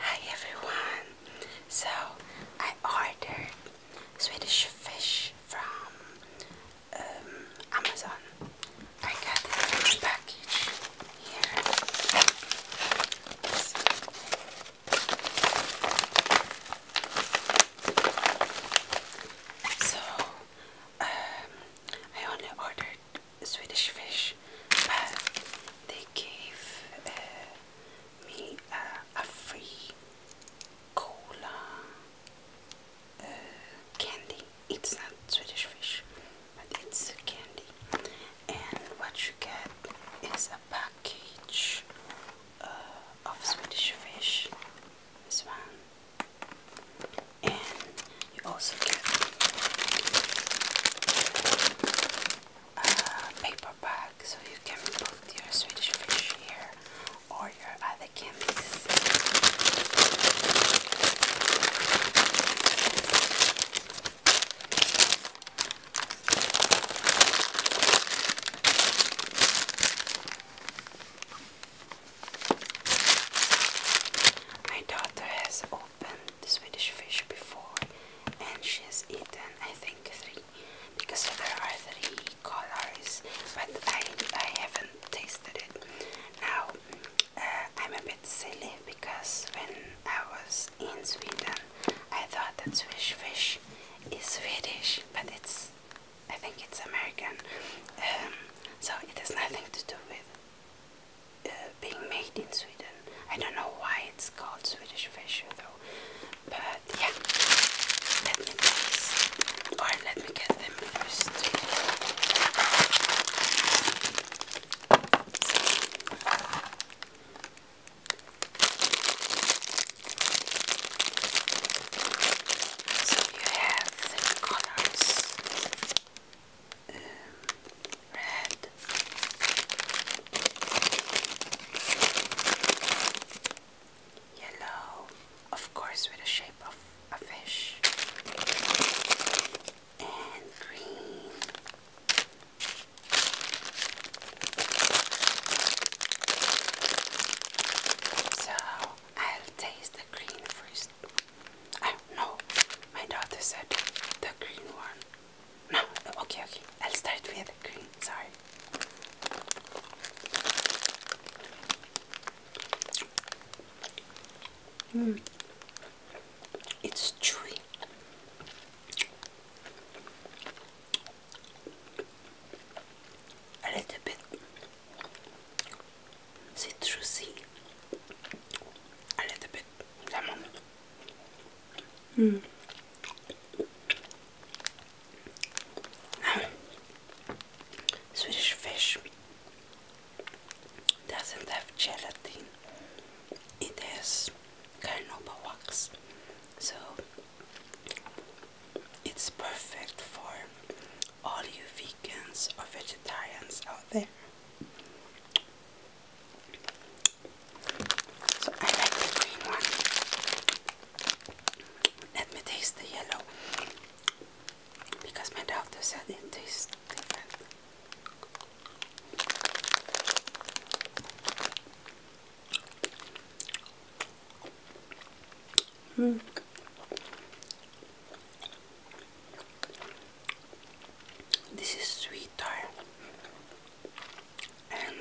Hi everyone! So I ordered Swedish fish from um, Amazon. I got it package here. So um, I only ordered Swedish fish, but they gave uh, me a, free cola uh, candy. It's not Swedish fish, but it's candy. And what you get is a package uh, of Swedish fish. This one and you also get a uh, paper bag so you can put your Swedish fish here or your other candies. My daughter has opened the Swedish fish before and she's eaten I think three because there are three colors but I, I haven't tasted it. Now uh, I'm a bit silly because when I was in Sweden I thought that Swedish fish is Swedish but it's I think it's American, um, so it has nothing to do with uh, being made in Sweden. I don't know why it's called Swedish fish though, but yeah, let me taste, or let me get them first. So you have three colors um, red, yellow, of course, with the shape of a fish, and green. So I'll taste the green first. Oh, no, my daughter said the green one. No, okay, okay. I'll start with the green, sorry. Mm. It's chewy. Hmm. Ah a little bit citrusy, a little bit lemon. Mm. Swedish fish doesn't have gelatin. It has carnauba wax, so it's perfect for all you vegans or vegetarians out there. So I like the green one. Let me taste the yellow because my doctor said it tastes different. Mm. This is sweeter and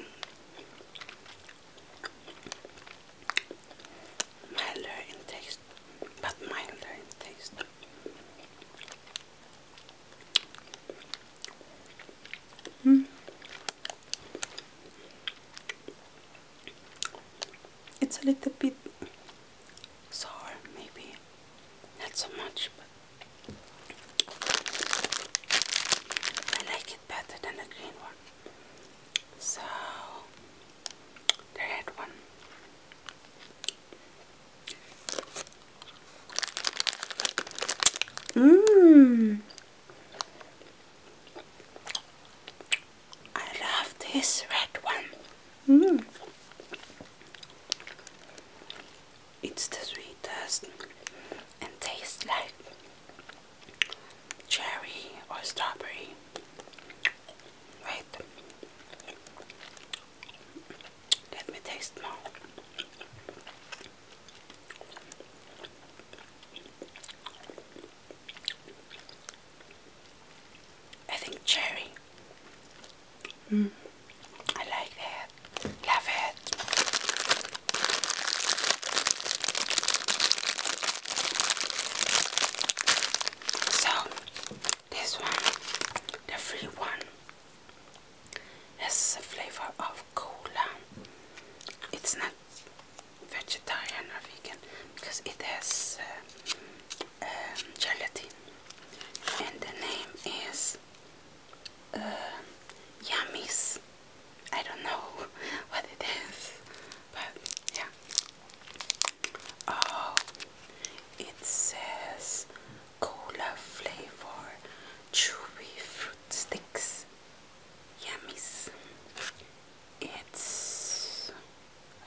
milder in taste, but milder in taste. Mm. It's a little bit sour, maybe not so much, but I like it better than the green one. So the red one Mmm. I love this red one. Mmm. It's the sweetest and tastes like cherry or strawberry. Wait. Let me taste more. I think cherry. Mm. I like that. Love it. So, this one, the free one has a flavor of cola. It's not vegetarian or vegan because it has uh, um, gelatin, and the name is uh, Yummies. I don't know what it is, but yeah. Oh, it says cola flavor chewy fruit sticks. Yummies. It's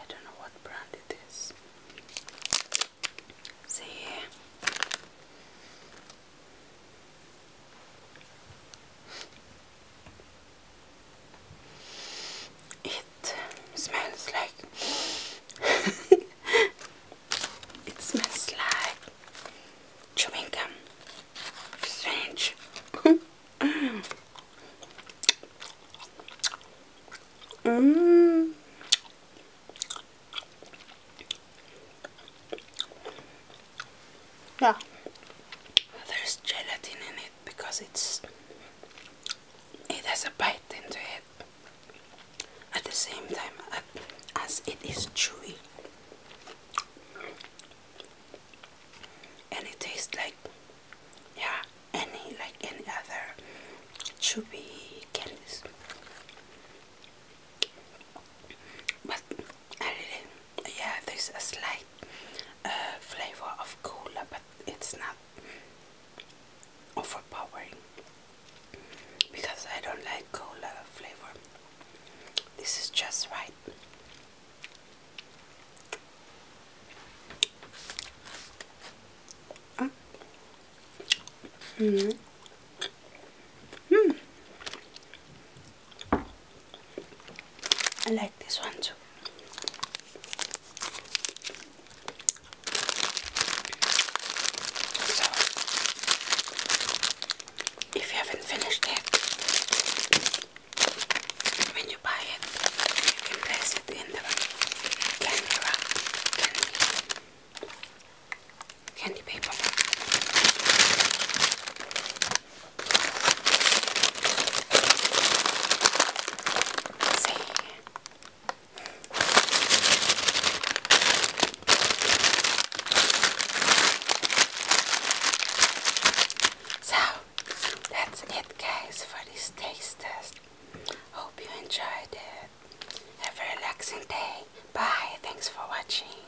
I don't know what brand it is. See here. It smells like it smells like chewing gum. Strange. mm. Yeah, there's gelatin in it because it's it has a bite into it at the same time as it is chewy and it tastes like yeah any like any other chewy candies but really yeah there's a slight uh, flavor of cola it's not overpowering because I don't like cola flavor. This is just right. Uh. Mm. I like this one too. if you haven't finished it, when you buy it, you can place it in the candy wrap, candy, candy paper. So that's it guys for this taste test. Hope you enjoyed it. Have a relaxing day. Bye. Thanks for watching.